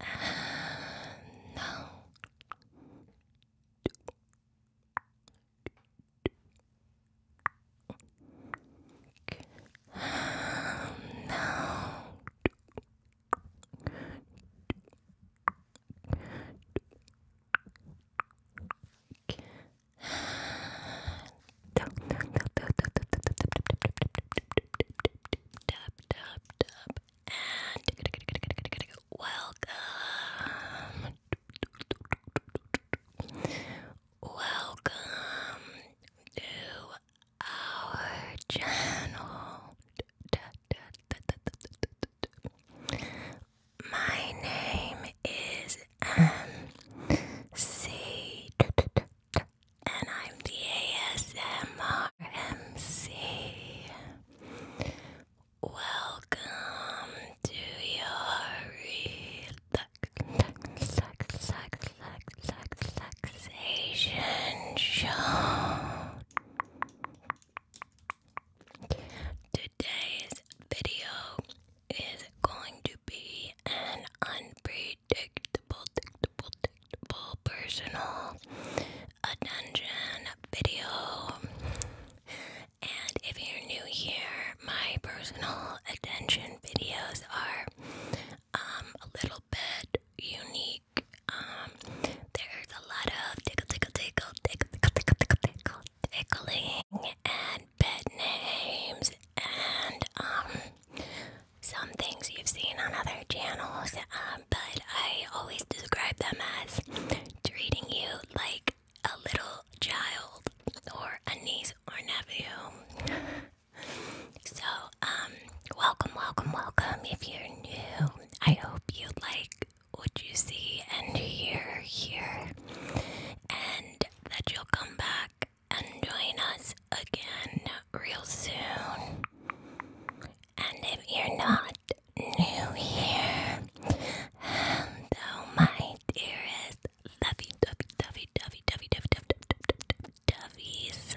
Uh, no. Uh, no and welcome. Welcome to our channel. My name is MC, and I'm the ASMR Welcome to your relax, relax, relaxation show. Today's video is going to be an unpredictable, predictable, predictable personal attention video. And if you're new here, my personal attention videos are um, a little bit unique. Um, there's a lot of tickle, tickle, tickle, tickle, tickle, tickle, tickle, tickling, and pet names, and um, some things you've seen on other channels. Um, but I always describe them as treating you like a little child or a niece or nephew. So, welcome, welcome, welcome. If you're new, I hope you like what you see and hear here, and that you'll come back and join us again real soon. And if you're not new here, hello, my dearest lovey dovey dovey dovey dovey dovey dovey doveys.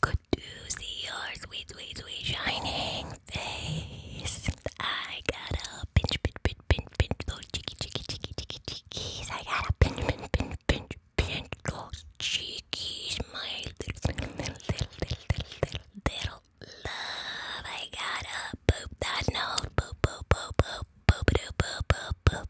good to see your sweet, sweet, sweet shining face. I gotta pinch, pinch, pinch, pinch, pinch those cheeky, cheeky, cheeky, cheeky, cheekies. I gotta pinch, pinch, pinch, pinch, pinch those cheekies, my little, little, little, little, little, little love. I gotta poop that nose, poop, poop, poop, poop, poop, poop, poop, poop, poop,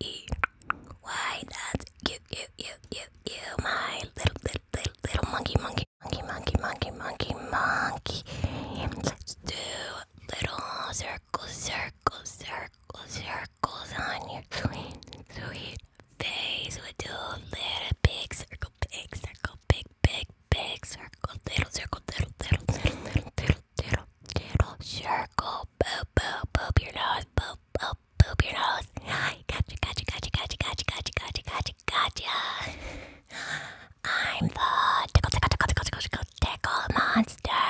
E. Why that's you, you, you, you, you, my little, little, little, little monkey, monkey, monkey, monkey, monkey, monkey, monkey. Let's do little circles, circles, circles, circles on your sweet, sweet face. We do little big circle, big circle, big, big, big circle, little circle, little, little, little, little, little, Tittle, tittle, circle, boop, boop, boop your nose, boop, boop, boop your nose. Gotcha, gotcha, gotcha, gotcha, gotcha, gotcha, gotcha, gotcha, gotcha. I'm the tickle, tickle, tickle, tickle, tickle, tickle, tickle monster.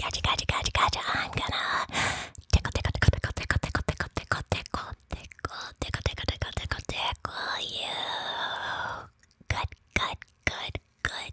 Gotcha, gotcha, gotcha, gotcha. I'm gonna tickle, tickle, tickle, tickle, tickle, tickle, tickle, tickle, tickle, tickle, tickle, tickle, tickle, tickle, tickle you. Good, good, good, good,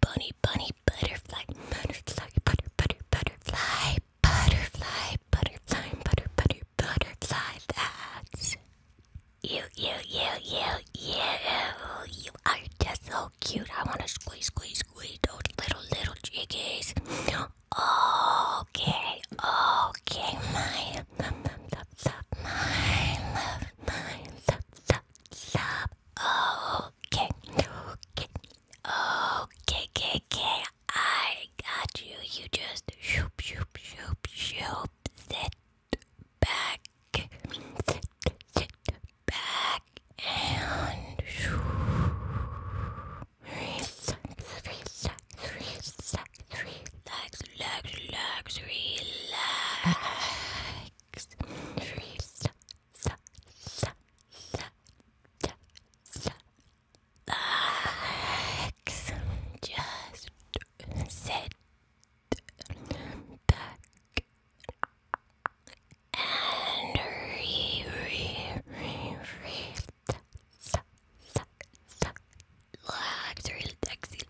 bunny, bunny, butterfly, butterfly, butter, butter, butterfly, butterfly, butterfly, butter, butter, butterfly. That's you, you, you, you, you. You are just so cute. I want to squeeze, squeeze, squeeze those little, little jiggies. Okay, okay, my love, love, love, my love, my love, love love. Okay, okay, okay, okay, I got you. You just shoop, shoop, shoop, shoop. Sit back, sit, back, and shoop relax, relax, relax. Just sit back and relax relax, relaxy,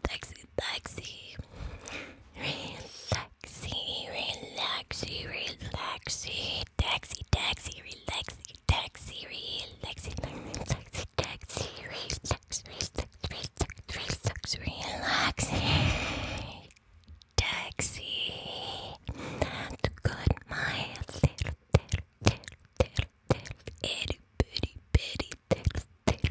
relaxy, relaxy, relaxy, relaxy, relaxy, taxi, taxi, relaxy, taxi, relaxy, relaxy, taxi, relax, relax, relax, relax, relax, taxi, to good my little, little, little, little, itty bitty bitty, little, little,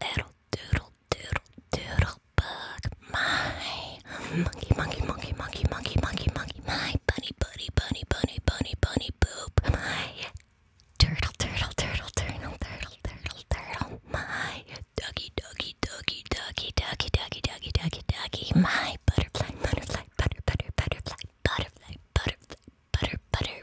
little, little, doodle, doodle, doodle bug. My monkey, monkey, monkey, monkey, monkey, monkey, monkey. My bunny, bunny, bunny, bunny, bunny, bunny, boop. My turtle, turtle, turtle, turtle, turtle, turtle, turtle. My ducky, ducky, ducky, ducky, ducky, ducky, ducky, ducky, ducky. My butterfly, butterfly, butter, butter, butterfly, butterfly, butterfly, butter, butter,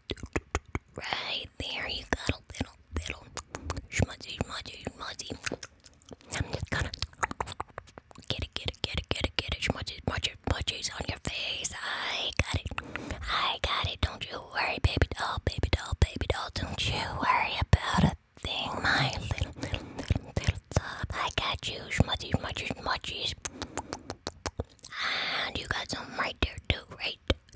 Right there, you got a little, little smudgy, smudgy, smudgy. I'm just gonna get it, get it, get it, get it, get it, smudgy, smudgy, smudgies on your face. I got it, I got it. Don't you worry, baby doll, baby doll, baby doll. Don't you worry about a thing, my little, little, little, little love. I got you, smudgy, smudgy, smudgies. And you got some right there, too, right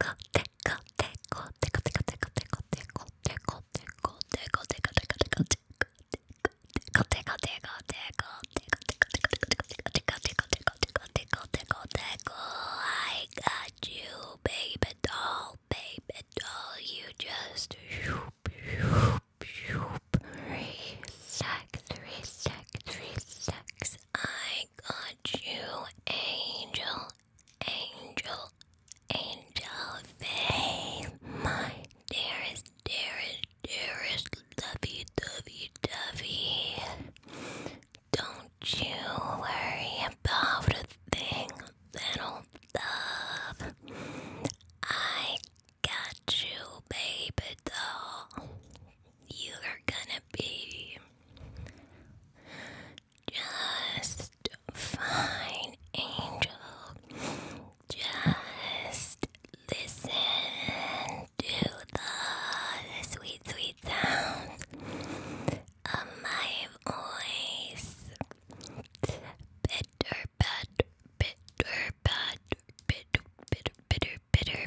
I got you, baby doll, baby doll. You just shoop, shoop, shoop. Relax, relax, relax. I got you, angel, angel, angel babe. My dearest, dearest, dearest, lovey, dovey, dovey. Don't you worry about a thing, little love. I got you, baby doll you are gonna be just fine, angel. Just listen to the sweet, sweet sounds of my voice. Bitter, bad, bitter, bad, bitter, bitter, bitter, bitter,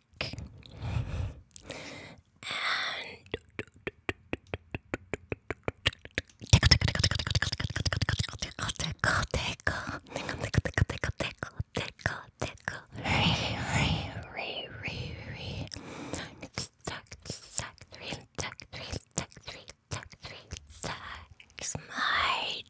back and tickle, tickle, tickle, tickle, tickle, tickle, tickle, tickle, tickle, tickle, tickle, tickle, tickle, tickle, re, re, re, re, re, suck, suck, three, suck, three, suck, three, suck, three, sucks my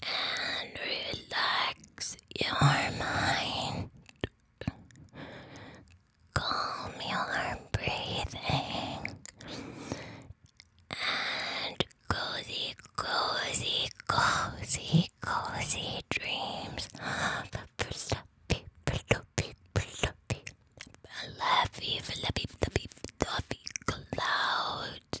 and relax your mind. Calm your breathing and cozy, cozy, cozy, cozy dreams of fluffy, fluffy, fluffy, fluffy, fluffy, fluffy, fluffy clouds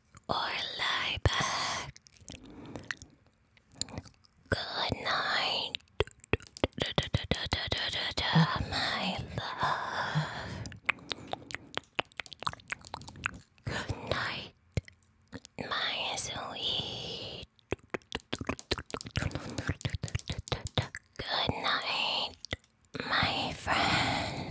or lie back. Good night, my love. Good night, my sweet. Good night, my friend.